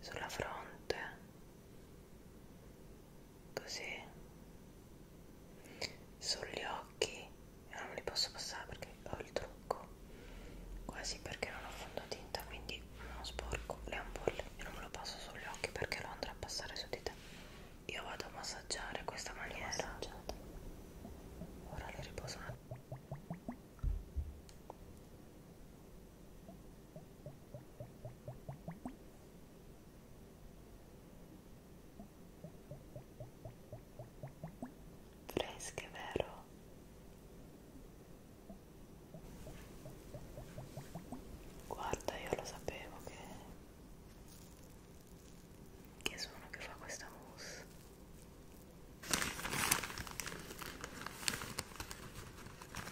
sulla fronte così sugli occhi io non li posso passare perché ho il trucco quasi perché non ho fondotinta quindi non sporco le ampolle e non me lo passo sugli occhi perché lo andrà a passare su di te io vado a massaggiare questa maniera ora le riposo un attimo fresche vero guarda io lo sapevo che che sono che fa questa mousse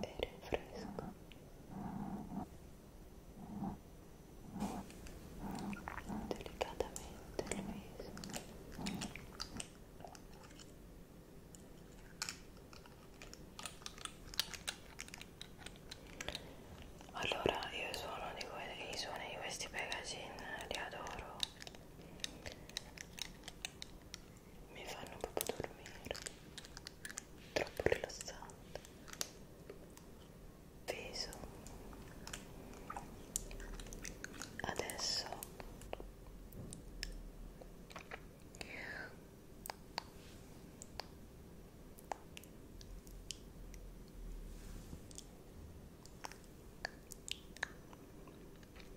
e rinfresco delicatamente il viso allora io suono di i suoni di questi Pegasin li adoro mi fanno proprio dormire troppo rilassante peso adesso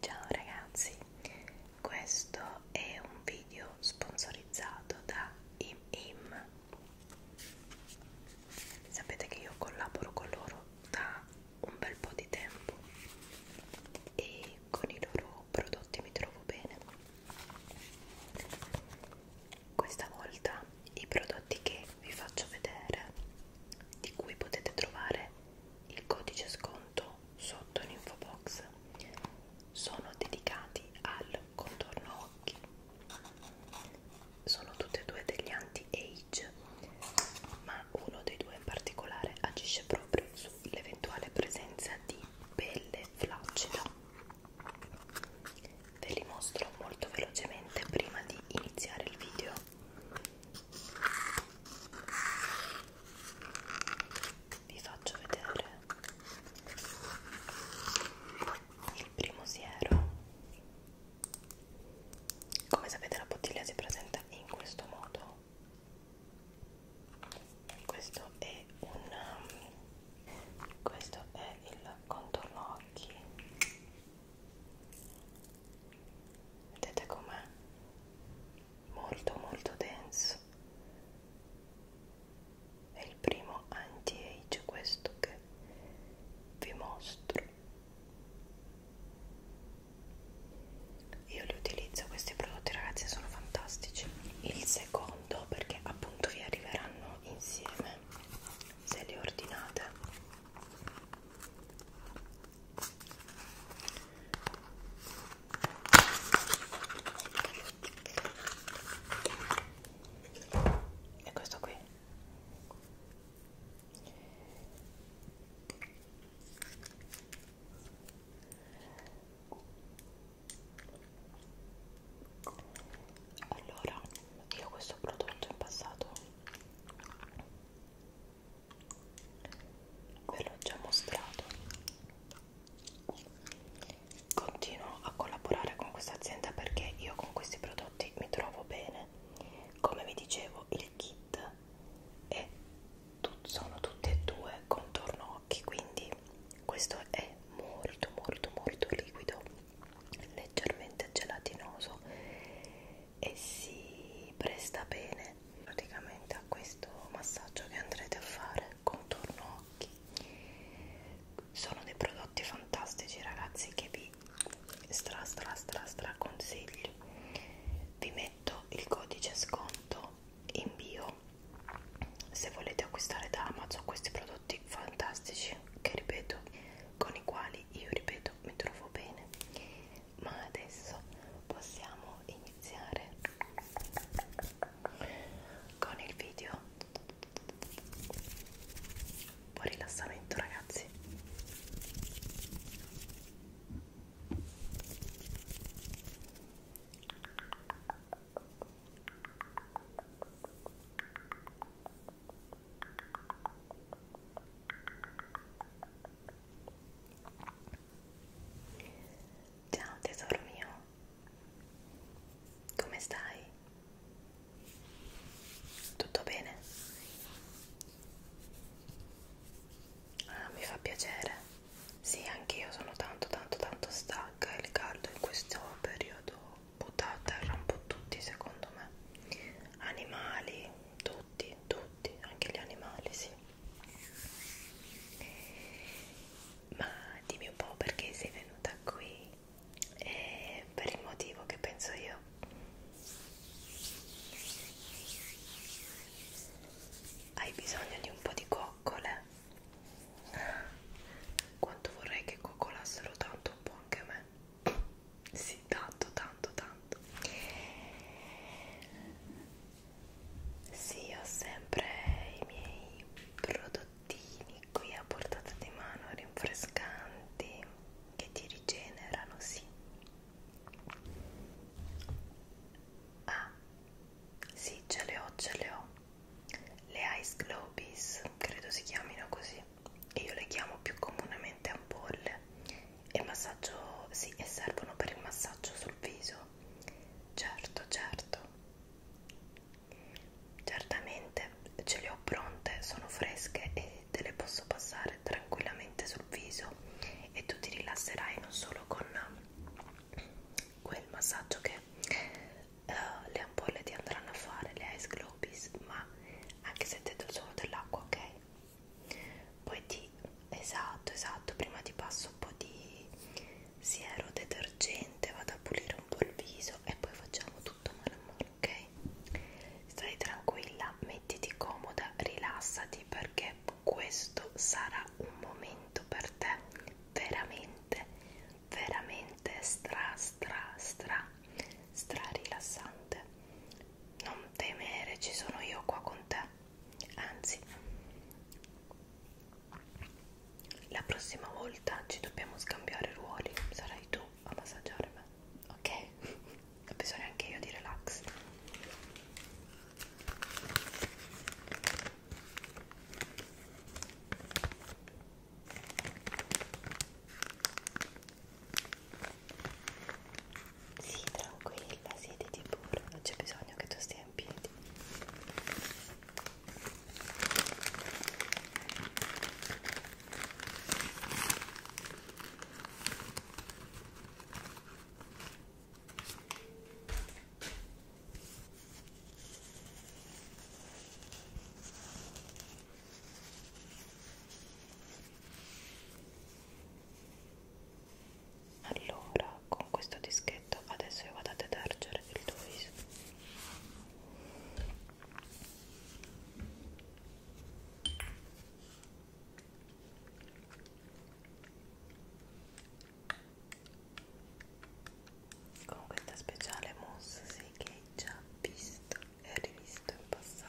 Ciao ragazzi, questo è un video sponsorizzato da ImIm. Sapete che io collaboro con loro da un bel po' di tempo e con i loro prodotti mi trovo bene. Questa volta i prodotti che vi faccio vedere, di cui potete trovare il codice sconto sotto l'info box sono dedicati al contorno occhi sono tutti e due degli anti-age ma uno dei due in particolare agisce proprio sull'eventuale presenza di pelle flaccida ve li mostro molto velocemente prima di iniziare il video vi faccio vedere il primo siero come sapete la bottiglia si presenta in questo modo questo è un um, questo è il contorno occhi vedete com'è molto molto denso è il primo anti-age questo che vi mostro io li utilizzo questi prodotti ragazzi sono fantastici il secondo perché appunto vi arriveranno insieme se li ordinate e questo qui allora io questo prodotto in passato ve l'ho già mostrato continuo a collaborare con questa azienda perché io con questi prodotti mi trovo bene come vi dicevo il kit è tut sono tutte e due contorno occhi quindi questo è molto molto molto liquido leggermente gelatinoso e si presta bene praticamente a questo massaggio che andrete a fare contorno occhi sono dei prodotti fantastici ragazzi che vi stra stra stra stra consiglio vi metto il codice sconto in bio se volete acquistare da Amazon questi prodotti fantastici che ripeto con i quali io ripeto mi trovo bene ma adesso possiamo iniziare con il video un po' rilassamento ragazzi Ciao tesoro mio, come stai? Tutto bene? Ah, mi fa piacere. Sì, anch'io sono tanto tanto tanto stanca. Il caldo in questo periodo butta a terra un po' tutti, secondo me. Animali, tutti, tutti, anche gli animali, sì. Ma dimmi un po' perché sei venuta qui e per il motivo che penso io. Hai bisogno di un po' di coccole? Quanto vorrei che coccolassero tanto un po' anche a me. Sì, tanto, tanto, tanto. Sì, ho sempre i miei prodottini qui a portata di mano rinfrescanti che ti rigenerano, sì. Ah, sì, ce le ho, ce le ho. Le Ice Globies, credo si chiamino così. Io le chiamo più comunemente ampolle e massaggio sì e servono per il massaggio sul viso certo certo certamente ce le ho pronte sono fresche e te le posso passare tranquillamente sul viso e tu ti rilasserai non solo con quel massaggio che uh, le ampolle ti andranno a fare le ice globies ma anche se te do solo dell'acqua ok poi ti esatto esatto prima ti passo un po' di siero detergente vado a pulire un po' il viso e poi facciamo tutto mano a mano ok stai tranquilla mettiti comoda rilassati perché questo sarà un momento per te veramente veramente stra stra stra stra rilassante non temere ci sono io qua con te anzi la prossima volta ci dobbiamo scambiare ruoli sarai tu a massaggiare me ok? ho bisogno anche io di relax sì, tranquilla, siediti pure, non c'è bisogno che tu stia in piedi allora con questo dischetto adesso io vado a detergere il tuo viso con questa speciale mousse sì, che hai già visto e rivisto in passato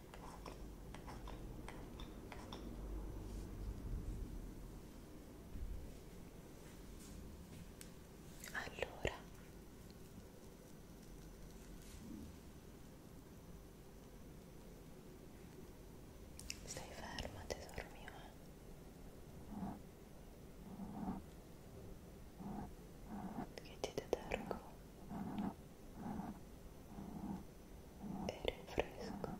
Allora stai ferma tesoro mio eh? che ti detergo aire fresco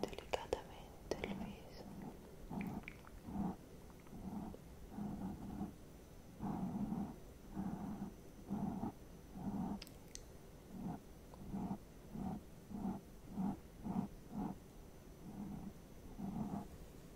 delicadamente el viso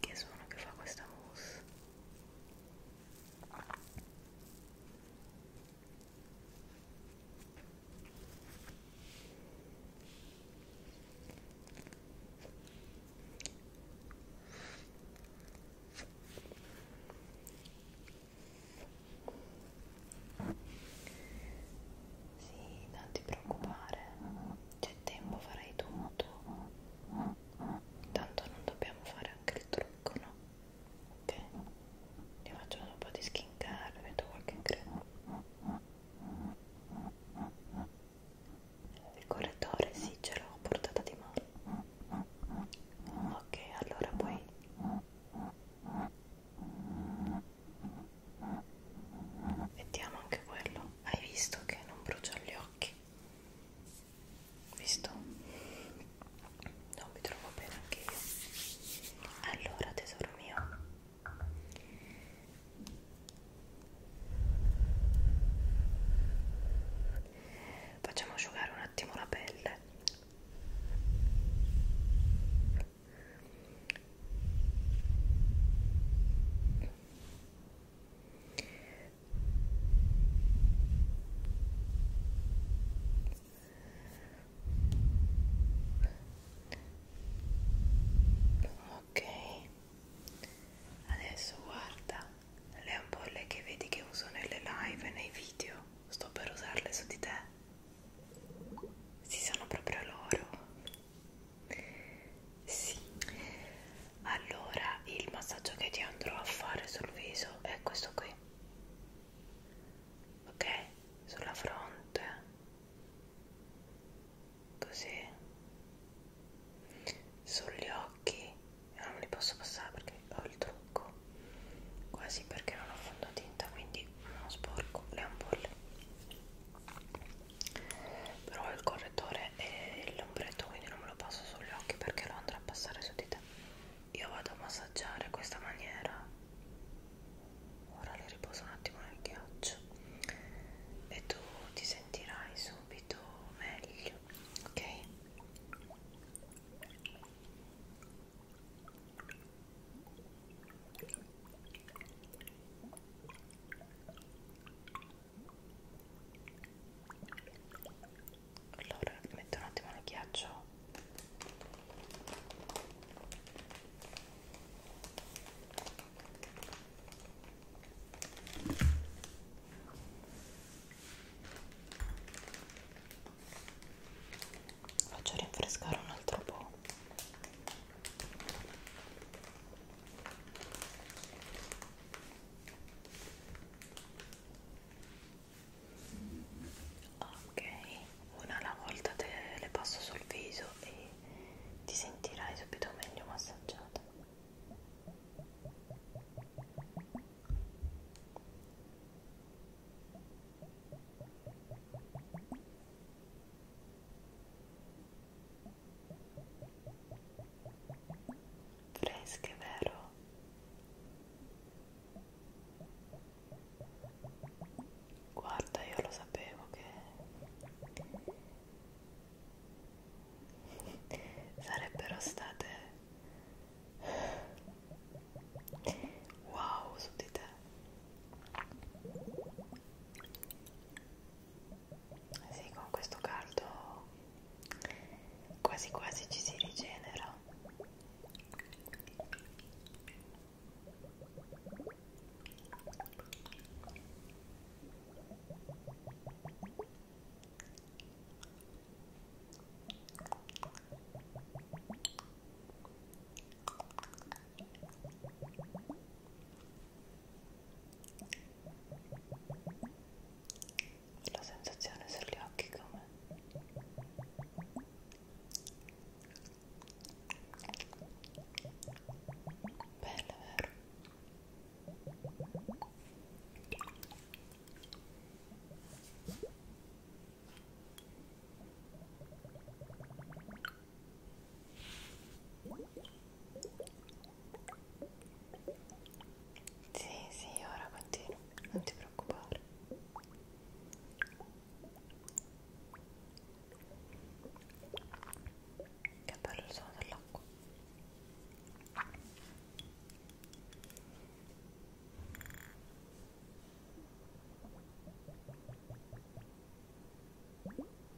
che suono che fa questa mousse sì, non ti preoccupare, c'è tempo, farai tutto tanto non dobbiamo fare anche il trucco no? ok? ti faccio un po' di skin care metto qualche crema il correttore sì ce l'ho a portata di mano ok allora poi Mettiamo anche quello. Hai visto che non brucia gli occhi? visto? non mi trovo bene anche io allora tesoro mio facciamo asciugare un attimo la pelle ok adesso guarda le ampolle che vedi che uso nelle live e nei video sto per usarle su di te si sono proprio loro sì allora il massaggio che ti andrò a fare sul viso è questo qui ok sulla fronte così sugli occhi non li posso passare perché ho il trucco quasi perché non ho fondotinta quindi non sporco le ampolle però il correttore e l'ombretto quindi non me lo passo sugli occhi perché lo andrà a passare su di te io vado a massaggiare questa maniera ora le riposo un attimo nel ghiaccio e tu ti sentirai subito meglio ok allora metto un attimo il ghiaccio faccio rinfrescare un altro po' ok una alla volta te le passo sul viso e ti sentirai subito meglio massaggiata ok fresche, vero? Guarda, io lo sapevo che sarebbero state wow su di te. Sì, con questo caldo quasi quasi ci si rigenera la sensazione sugli occhi come bella vero sì, sì, ora continuo, non ti preoccupare. Che bello il suono dell'acqua. Sì,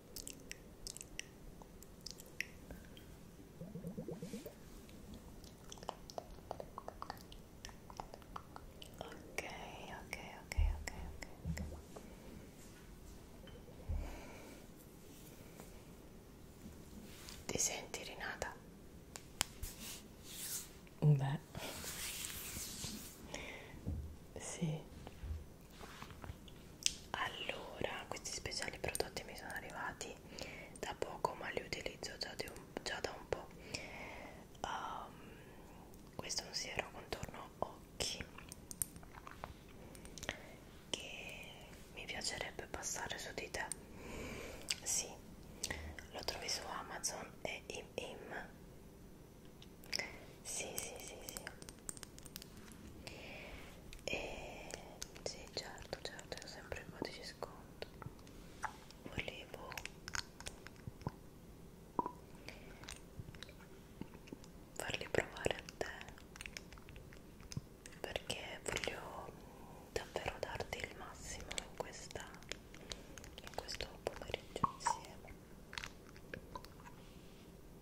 ok, ok, ok, ok, ok. Ti senti rinata? Beh, sì allora questi speciali prodotti mi sono arrivati da poco ma li utilizzo già, di un, già da un po' um, questo è un siero contorno occhi che mi piacerebbe passare su di te sì lo trovi su Amazon e im im sì, sì, sì, sì. E sì, certo, certo, io sempre il codice sconto. Volevo farli provare a te perché voglio davvero darti il massimo in questa in questo pomeriggio insieme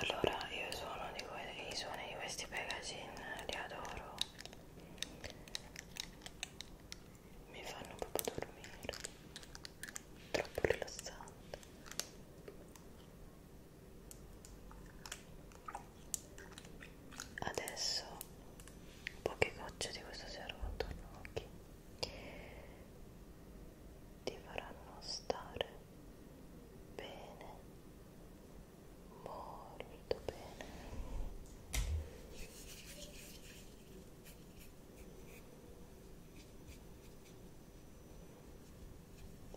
Allora, io suono di que i suoni di questi packaging li adoro. Mi fanno proprio dormire troppo rilassante adesso poche gocce di questo serum attorno agli occhi ti faranno stare bene molto bene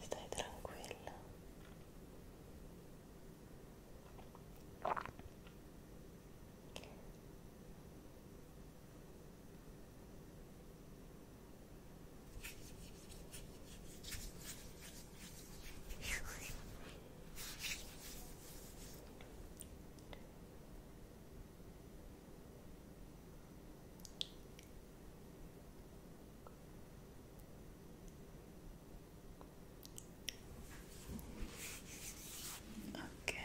stai tranquilla ok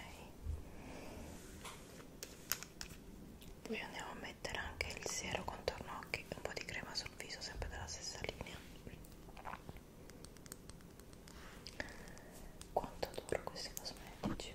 poi andiamo a mettere anche il siero contorno occhi e un po' di crema sul viso sempre della stessa linea quanto duro questi cosmetici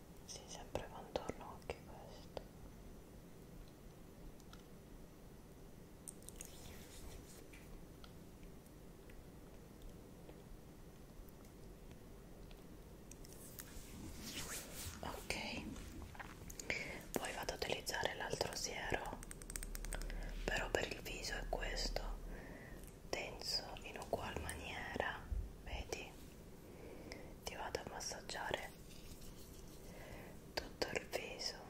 si sì, sempre contorno anche questo ok poi vado ad utilizzare l'altro siero però per il viso è questo tenso in ugual maniera vedi ti vado a massaggiare tutto il viso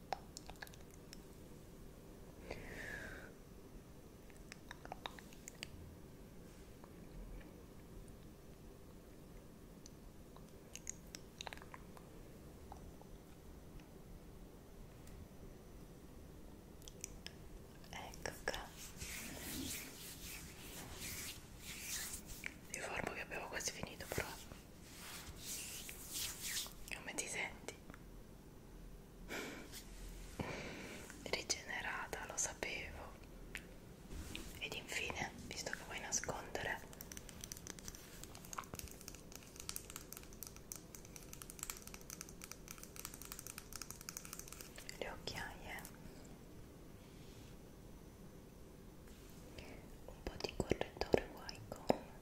Ecco qua. Vi informo che abbiamo quasi finito però come ti senti? Rigenerata, lo sapevo. Ed infine, visto che vuoi nascondere, le occhiaie, un po' di correttore white comb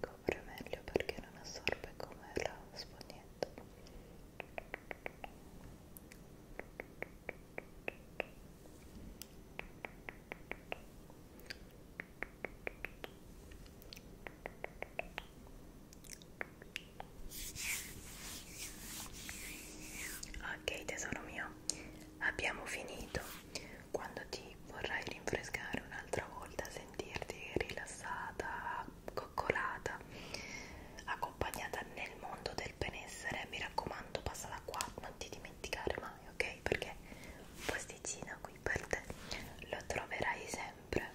copre meglio perché non assorbe come la spugnetta ok tesoro mio abbiamo finito. Quando ti vorrai rinfrescare un'altra volta, sentirti rilassata, coccolata, accompagnata nel mondo del benessere, mi raccomando, passa da qua, non ti dimenticare mai, ok? Perché un posticino qui per te lo troverai sempre.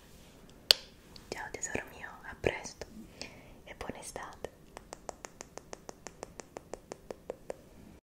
Ciao tesoro mio, a presto e buona estate.